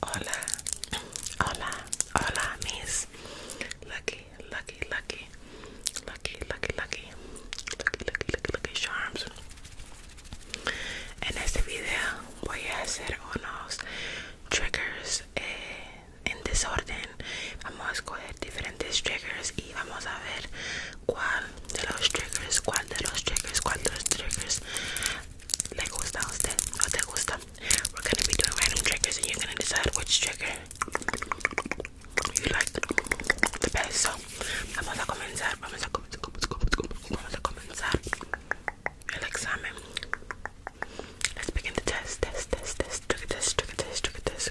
Hola, hola, hola, miss. Lucky, lucky, lucky, lucky, lucky, lucky, lucky, lucky, lucky, lucky charms. En este video voy a hacer unos triggers eh, en desorden vamos a escoger diferentes triggers y vamos a ver cuál de los triggers cuál de los triggers cuál de los triggers le gusta a usted no te gusta we're gonna be doing random triggers and you're gonna decide which trigger you like the best so vamos a comenzar vamos a comenzar vamos a comenzar el examen Let's begin the test, test, test, test, trigger test, trigger test, trick test.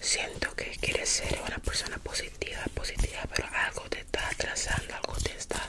Siento que quieres ser una persona positiva, positiva, pero algo te está atrasando, algo te está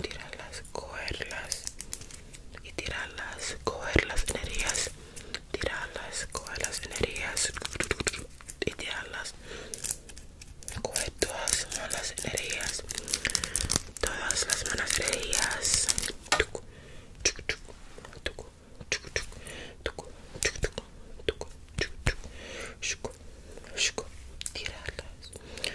tirarlas, cogerlas y tirarlas, coger las energías, tirarlas, coger las energías y tirarlas, coger todas las energías, todas las manas energías. Tirarlas,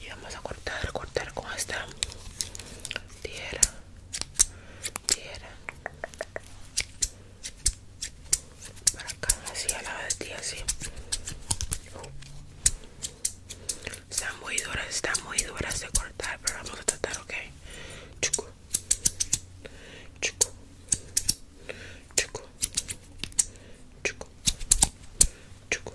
y vamos a cortar cortar con esta tierra tierra para acá así al la de ti, así están muy duras están muy duras de cortar pero vamos a tratar ok chico chucu chucu chucu chucu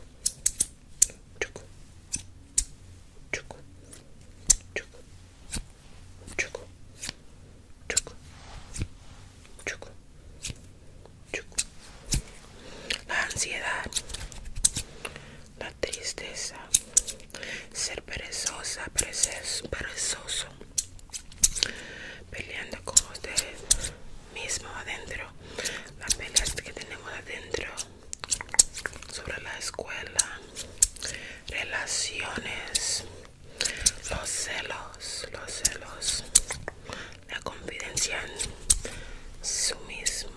la ansiedad, la tristeza, ser perezosa, perezoso, peleando con ustedes, mismo adentro las peleas que tenemos adentro sobre la escuela relaciones los celos los celos la confidencial su mismo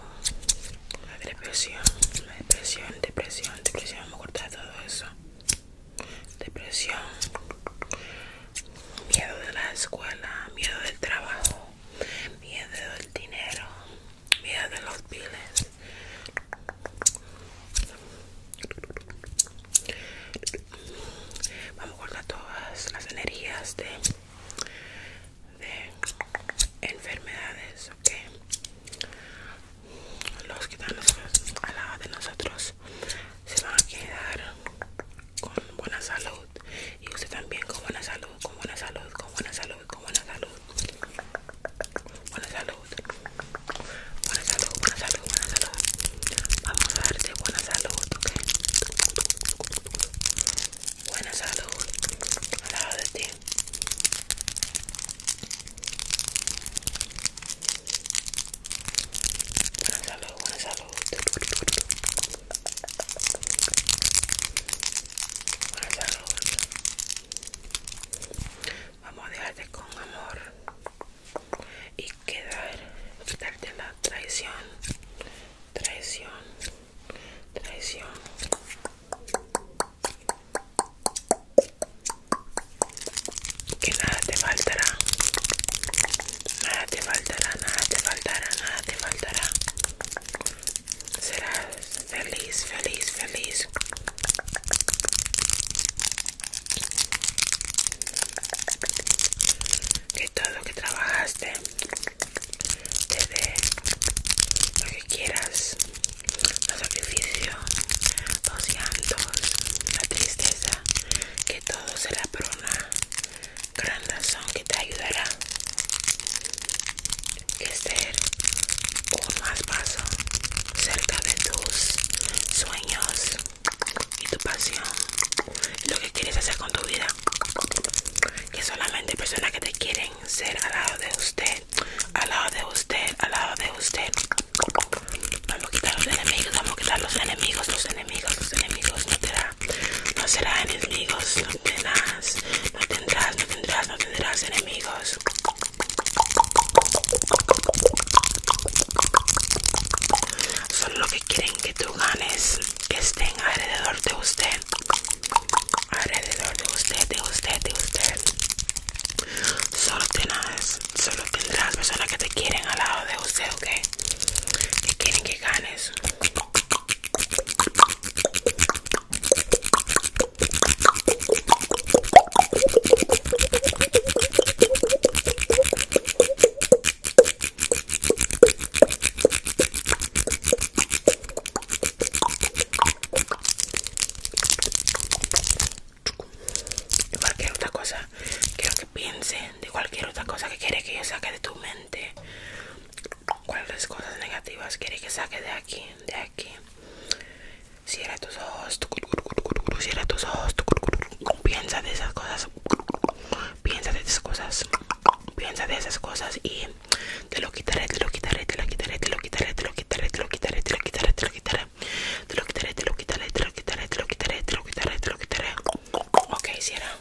la depresión la depresión depresión depresión me de todo eso depresión miedo de la escuela miedo del trabajo miedo del dinero, miedo de los piles Vamos a guardar todas las energías de, enfermedades, Los que están al lado de nosotros se van a quedar con buena salud y usted también con buena salud, con buena salud, con buena salud, con buena salud. Buena salud. Buena salud, buena salud, buena salud. Vamos a darte buena salud, Buena salud. Al lado de ti. Buena salud, buena salud. Vamos a dejarte con amor y quedar, quitarte la traición, traición, traición. Que nada te faltará. Nada te faltará, nada te faltará, nada te faltará. Serás feliz, feliz, feliz. Que todo lo que trabajaste te dé lo que quieras, los sacrificios, los llantos, la tristeza, que todo será por una gran razón que te ayudará Es este ser un más paso cerca de tus sueños y tu pasión lo que quieres hacer con tu vida que solamente personas que te quieren ser al lado de usted al lado de usted al lado de usted vamos a quitar los enemigos vamos a quitar los enemigos los enemigos los enemigos no te da no será enemigos, no tendrás, no tendrás, no tendrás, no tendrás enemigos. Son lo que quieren que tú ganes, que estén alrededor de usted. Alrededor de usted, de usted, de usted. Solo tendrás, solo tendrás personas que te quieren al lado de usted, ¿ok? Que quieren que ganes. Cualquier otra cosa, quiero que piensen de cualquier otra cosa que quiere que yo saque de tu mente. ¿Cuáles cosas negativas quiere que saque de aquí? De aquí. Cierra tus ojos. Cierra tus ojos. Piensa de esas cosas. Piensa de esas cosas. Piensa de esas cosas y te lo quitaré, te lo quitaré, te lo quitaré, te lo quitaré, te lo quitaré, te lo quitaré, te lo quitaré, te lo quitaré. Te lo quitaré, te lo quitaré, te lo quitaré, te lo quitaré, te lo quitaré, te lo quitaré. Ok, cierra.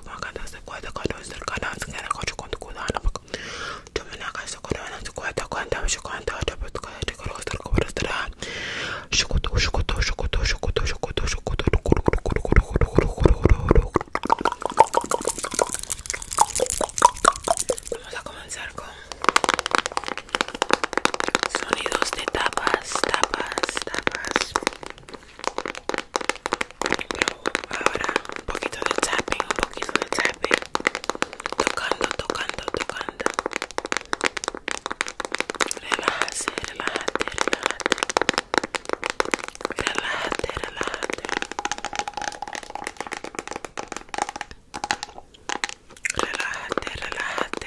Vamos a comenzar con sonidos de tapas, tapas, tapas. Pero ahora un poquito de tapping, un poquito de tapping. Tocando, tocando, tocando. Relájate, relájate, relájate. Relájate, relájate. Relájate, relájate.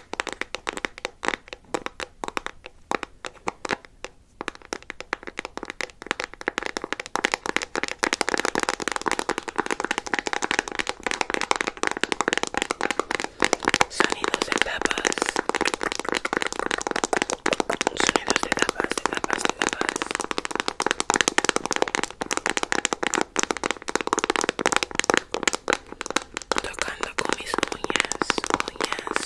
Sonidos de tapas. Sonidos de tapas, de tapas, de tapas tocando con mis uñas, uñas.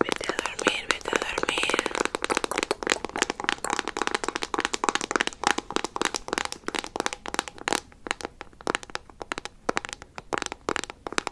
Vete a dormir, vete a dormir.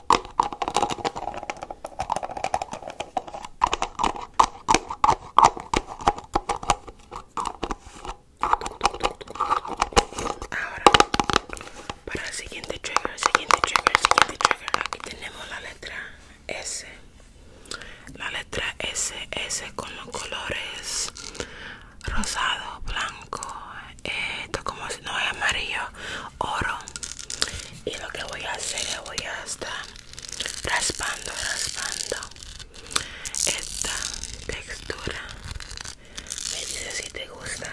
Ahora, para el siguiente trigger, el siguiente trigger, siguiente trigger, aquí tenemos la letra S. La letra S, S con los colores rosado, blanco, eh, esto como si no es amarillo, oro. Y lo que voy a hacer, voy a estar raspando, raspando esta textura. Me dice si te gusta.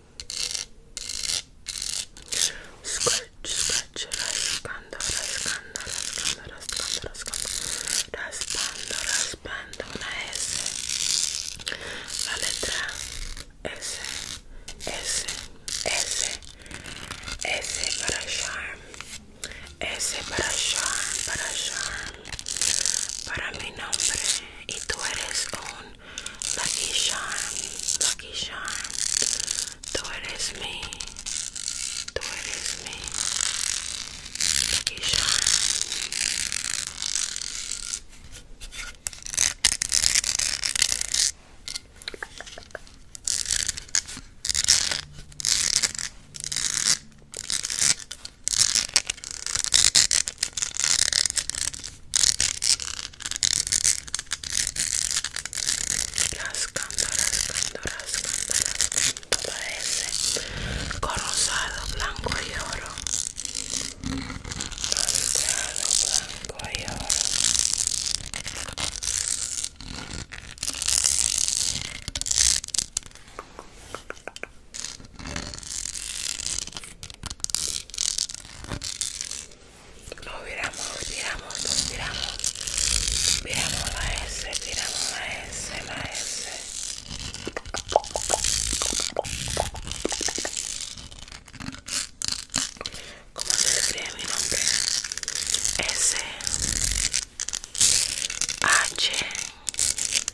Scratch, scratch, raspando, raspando, raspando, raspando, raspando, raspando, raspando una S, la letra S, S, S, S para charm, S para charm, para charm, para mi nombre y tú eres un Lucky Charm, Lucky Charm. Though it is me, though it is me. Lucky Charm. Las cándoras, cándoras, cándoras, todo ese corrosado blanco y oro, corrosado blanco y oro. Lo tiramos, lo tiramos, lo miramos, Viramos la S, tiramos la S, la S. ¿Cómo se escribe mi nombre? S H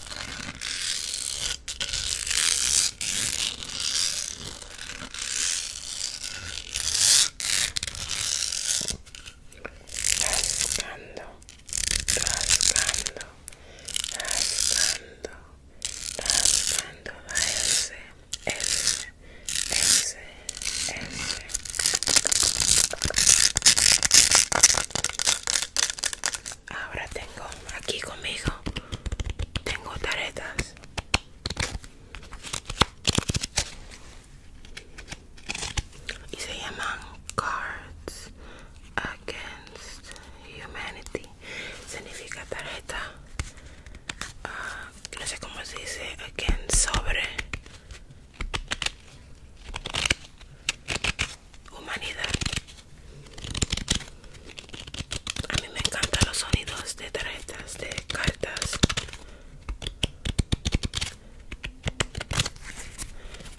Rascando, rascando, rascando, rascando, S ese, ese, ese, ese. Ahora tengo aquí conmigo, tengo taretas. Y se llaman Cards Against Humanity. Significa tarjeta. Ah, no sé cómo se dice. Against sobre humanidad. A mí me encantan los sonidos de tarjetas, de cartas.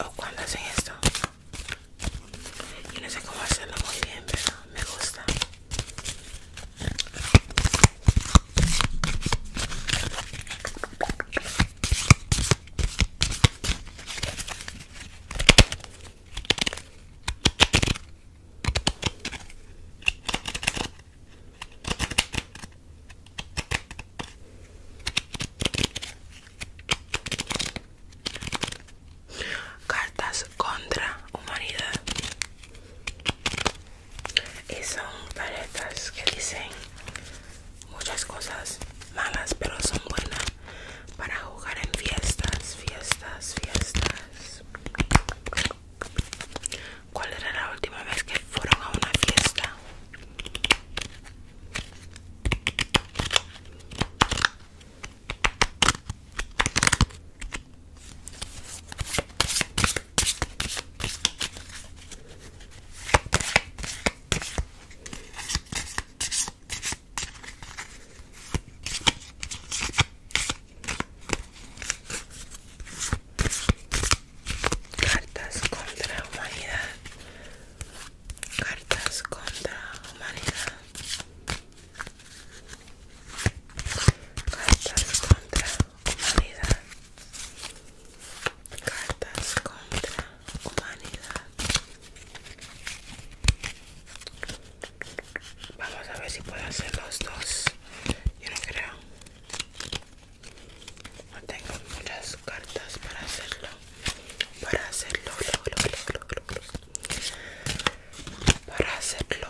O cuando hacen esto. Yo no sé cómo hacerlo muy bien, pero me gusta. Cartas contra humanidade. E são paletas que dizem muchas cosas malas pero son buenas para jugar en fiestas fiestas fiestas cuál era la última vez que fueron a una fiesta Cartas contra humanidad. Cartas contra humanidad. Cartas contra humanidad. Cartas contra humanidad. Vamos a ver si puedo hacer los dos. Yo no creo. No tengo muchas cartas para hacerlo. Para hacerlo, lo, Para hacerlo, Para hacerlo,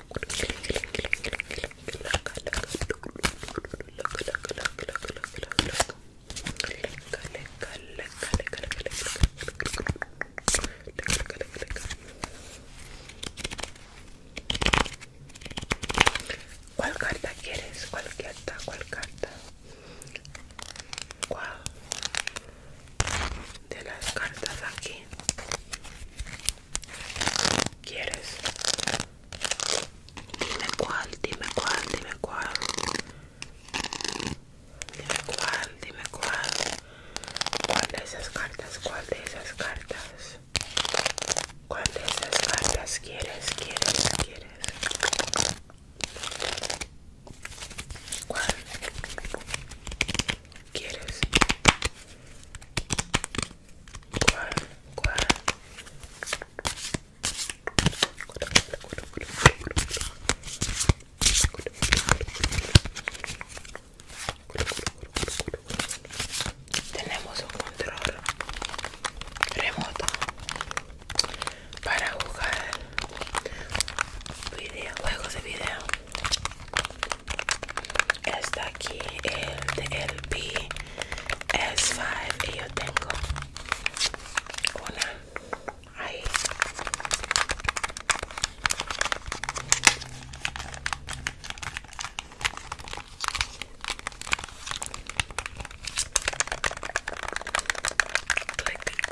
¿Cuál carta quieres? ¿Cuál carta? ¿Cuál carta? de las cartas aquí quieres dime cuál dime cuál dime cuál dime cuál dime cuál cuál de esas cartas cuál de esas cartas cuál de esas cartas quieres quieres quieres ¿Cuál? quieres? Tenemos un control remoto para jugar juegos de video. Está aquí el de el PS5 y yo tengo una ahí.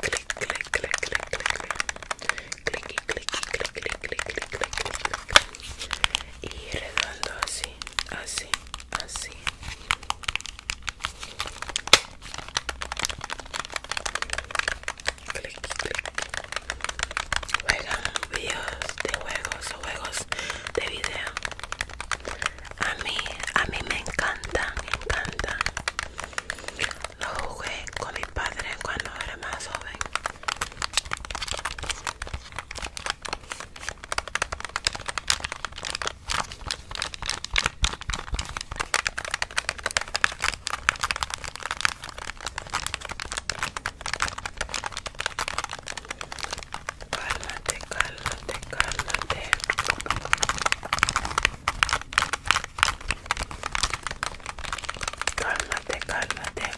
Click, click, click, click, click, click, clic, clic, clic, clic, clic, clic, y redondo así, así, así. Clic, clic. Juegan videos de juegos o juegos de video. A mí, a mí me encanta me encanta lo jugué con mi padre cuando era más joven. Cálmate, cálmate, cálmate. Cálmate, cálmate.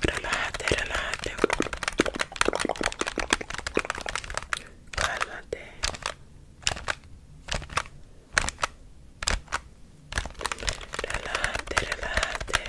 Relájate, relájate. Cálmate. Relájate, relájate.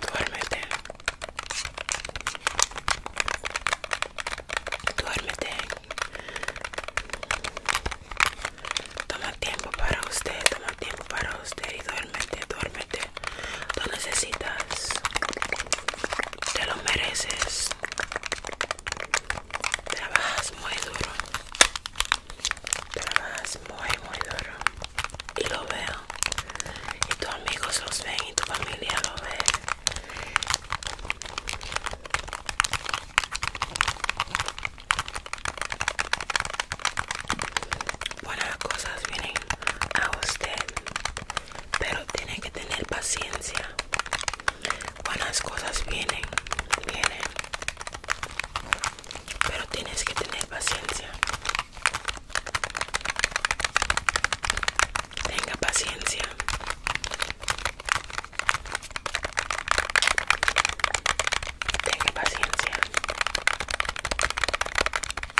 Duérmete. Duérmete. Toma tiempo para usted, toma tiempo para usted y duérmete, duérmete. Lo necesitas. Te lo mereces. Trabajas muy duro. Trabajas muy, muy duro. Y lo veo. Y tus amigos los ven y tu familia lo ve. buenas cosas vienen a usted pero tiene que tener paciencia buenas cosas vienen vienen pero tienes que tener paciencia tenga paciencia tenga paciencia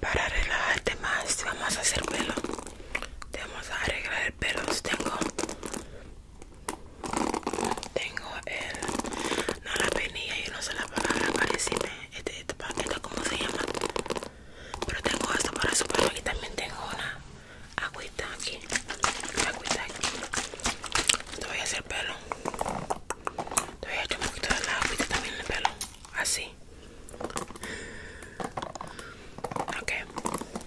Para relajarte más, vamos a hacer pelo. Te vamos a arreglar el pelo. Tengo tengo el. No la penilla, yo no sé la palabra para decirme. Este, paquete este, ¿Cómo se llama? Pero tengo esto para su pelo y también tengo una agüita aquí. agüita aquí. Te voy a hacer pelo. Te voy a echar un poquito de la agüita también en el pelo. Así. Ok.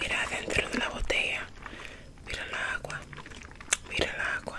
Mira dentro de la botella. Mira el agua. Mira el agua.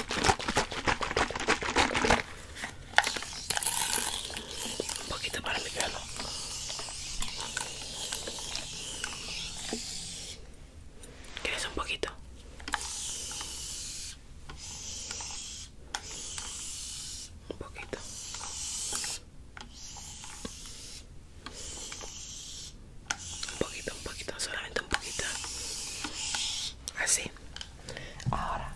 Un poquito para mi ¿Quieres un poquito? Un poquito un poquito, un poquito, solamente un poquito. Así. Ahora.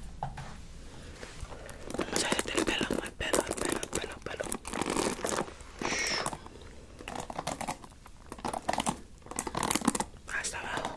Vamos a hacerte el pelo, el pelo, el pelo, el pelo, el pelo. Hasta abajo.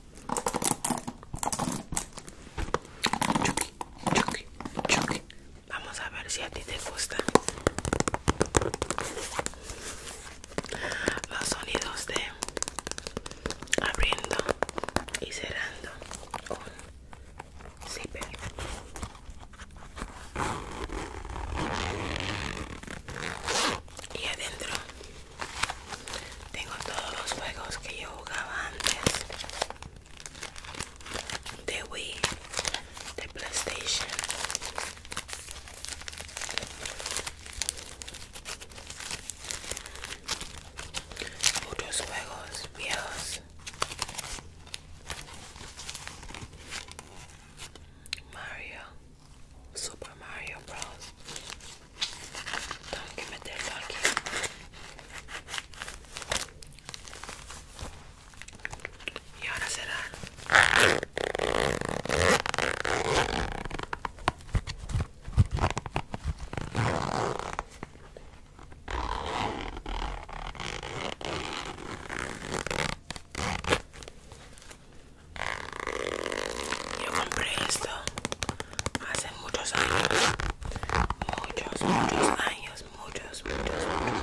Vamos a ver si a ti te gusta los sonidos de abriendo y cerrando Y adentro tengo todos los juegos que yo jugaba antes de Wii, de PlayStation. Otros juegos viejos. Mario, Super Mario Bros. Tengo que meterlo aquí. Y ahora será. Yo compré esto muchos años, muchos, muchos años, muchos, muchos, muchos años.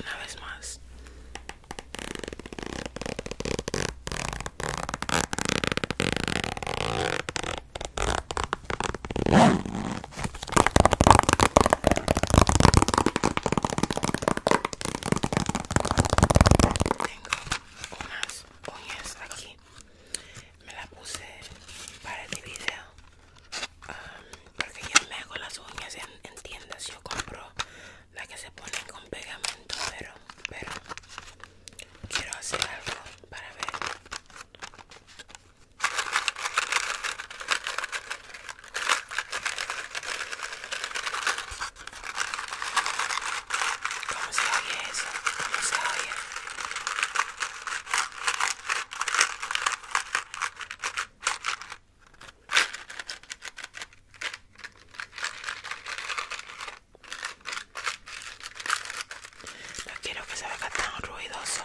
una vez más tengo unas uñas aquí me la puse para el video porque yo me hago las uñas en, tiendas yo compro la que se pone con pegamento pero pero quiero hacer algo para ver cómo se oye eso cómo no quiero que se vea tan ruidoso.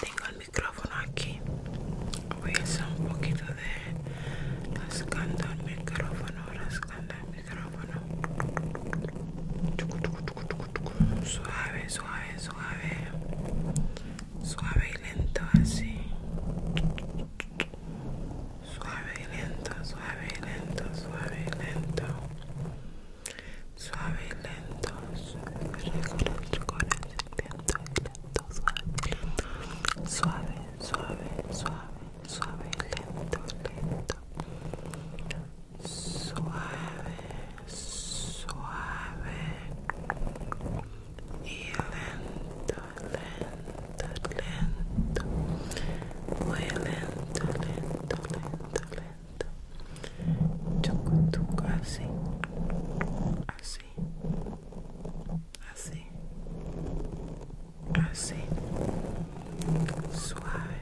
Tengo el micrófono aquí. Voy a hacer un poquito de rascando el micrófono, rascando el micrófono. Suave, suave, suave. Suave y lento así. Suave y lento, suave y lento, suave y lento. Suave y lento. Suave, suave, suave, suave, Suave, lento, suave, suave y lento, lento, lento, muy lento, lento, lento, lento, así, así, así, así, suave.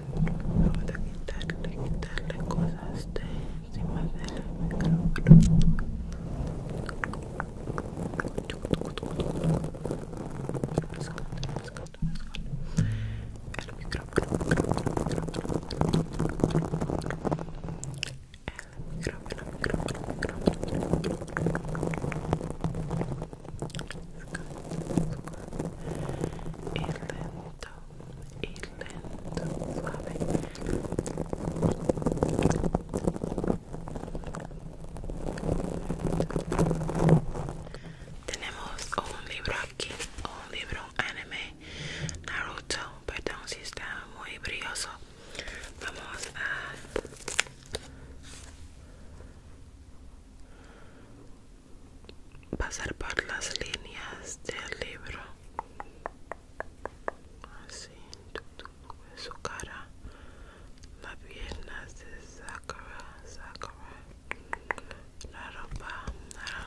voy a quitarle, cosas de encima del micrófono. El micrófono, el micrófono, el micrófono. El y lento, Tenemos un libro aquí, un libro anime Naruto, perdón si está muy brilloso. Vamos a pasar por las líneas del libro así su cara las piernas de Sakura, la ropa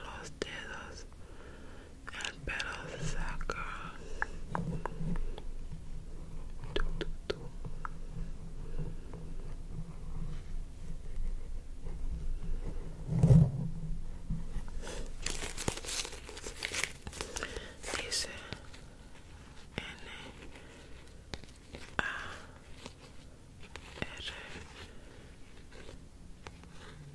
los dedos el pelo de Dice N A R e O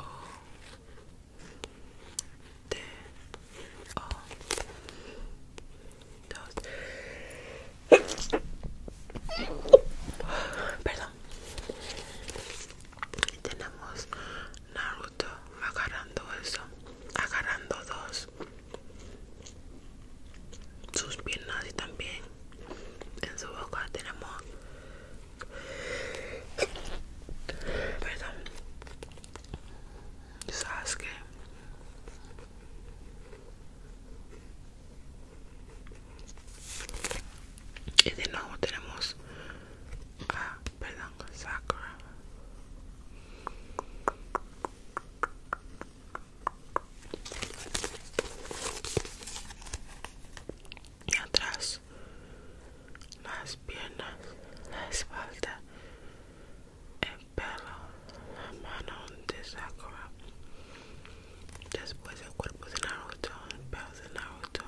O y tenemos Naruto agarrando eso agarrando dos sus piernas y también en su boca tenemos perdón Sasuke y de nuevo tenemos a perdón sacra y atrás las piernas la espalda el pelo la mano de sacra después el cuerpo de Naruto, el pelo de Naruto,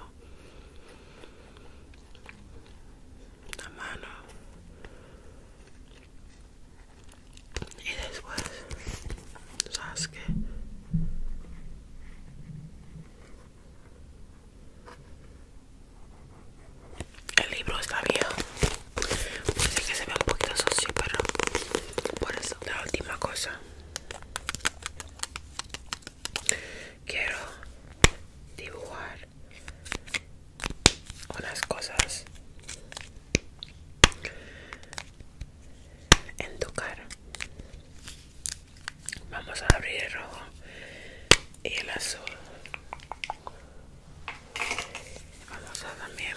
la mano y después Sasuke. El libro está bien, parece que se ve un poquito sucio, pero por eso la última cosa Quiero dibujar unas cosas en tu cara. Vamos a abrir el rojo y el azul. Vamos a también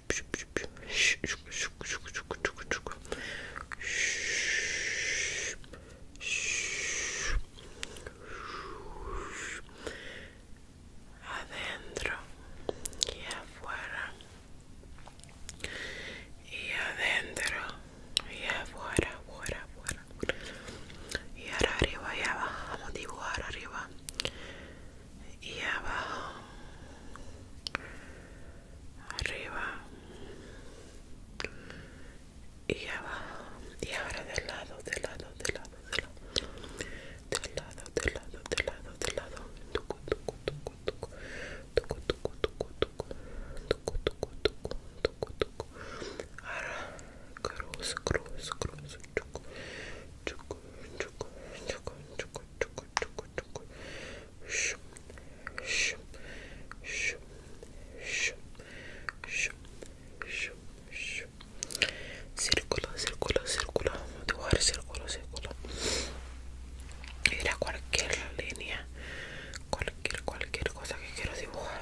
adentro y afuera y adentro y afuera y ahora arriba y abajo vamos dibujar arriba y abajo arriba y abajo y ahora del lado del lado del lado del lado del lado del lado del lado del lado tucu tucu tucu tucu tucu tucu tucu tucu ahora cruz cruz cruz Círculo, círculo, círculo. Vamos a dibujar círculo, círculo. Era cualquier línea, cualquier, cualquier cosa que quiero dibujar.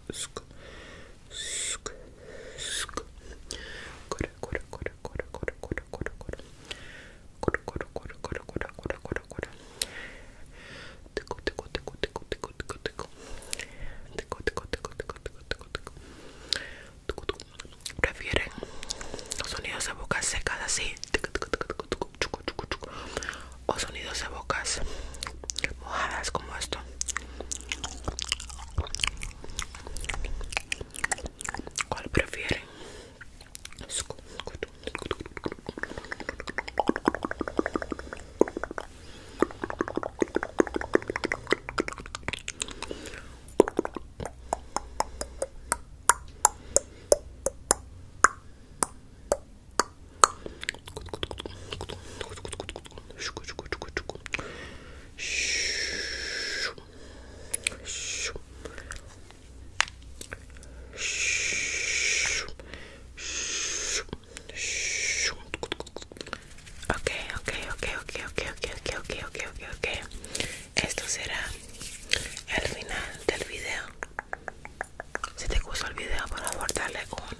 corre, corre, corre, corre, corre, corre, corre o sonidos de bocas mojadas como esto cuál prefieren Ok, ok, ok, ok, ok, ok, ok, ok, ok, Esto será el final del video. Si te gustó el video, por favor, dale un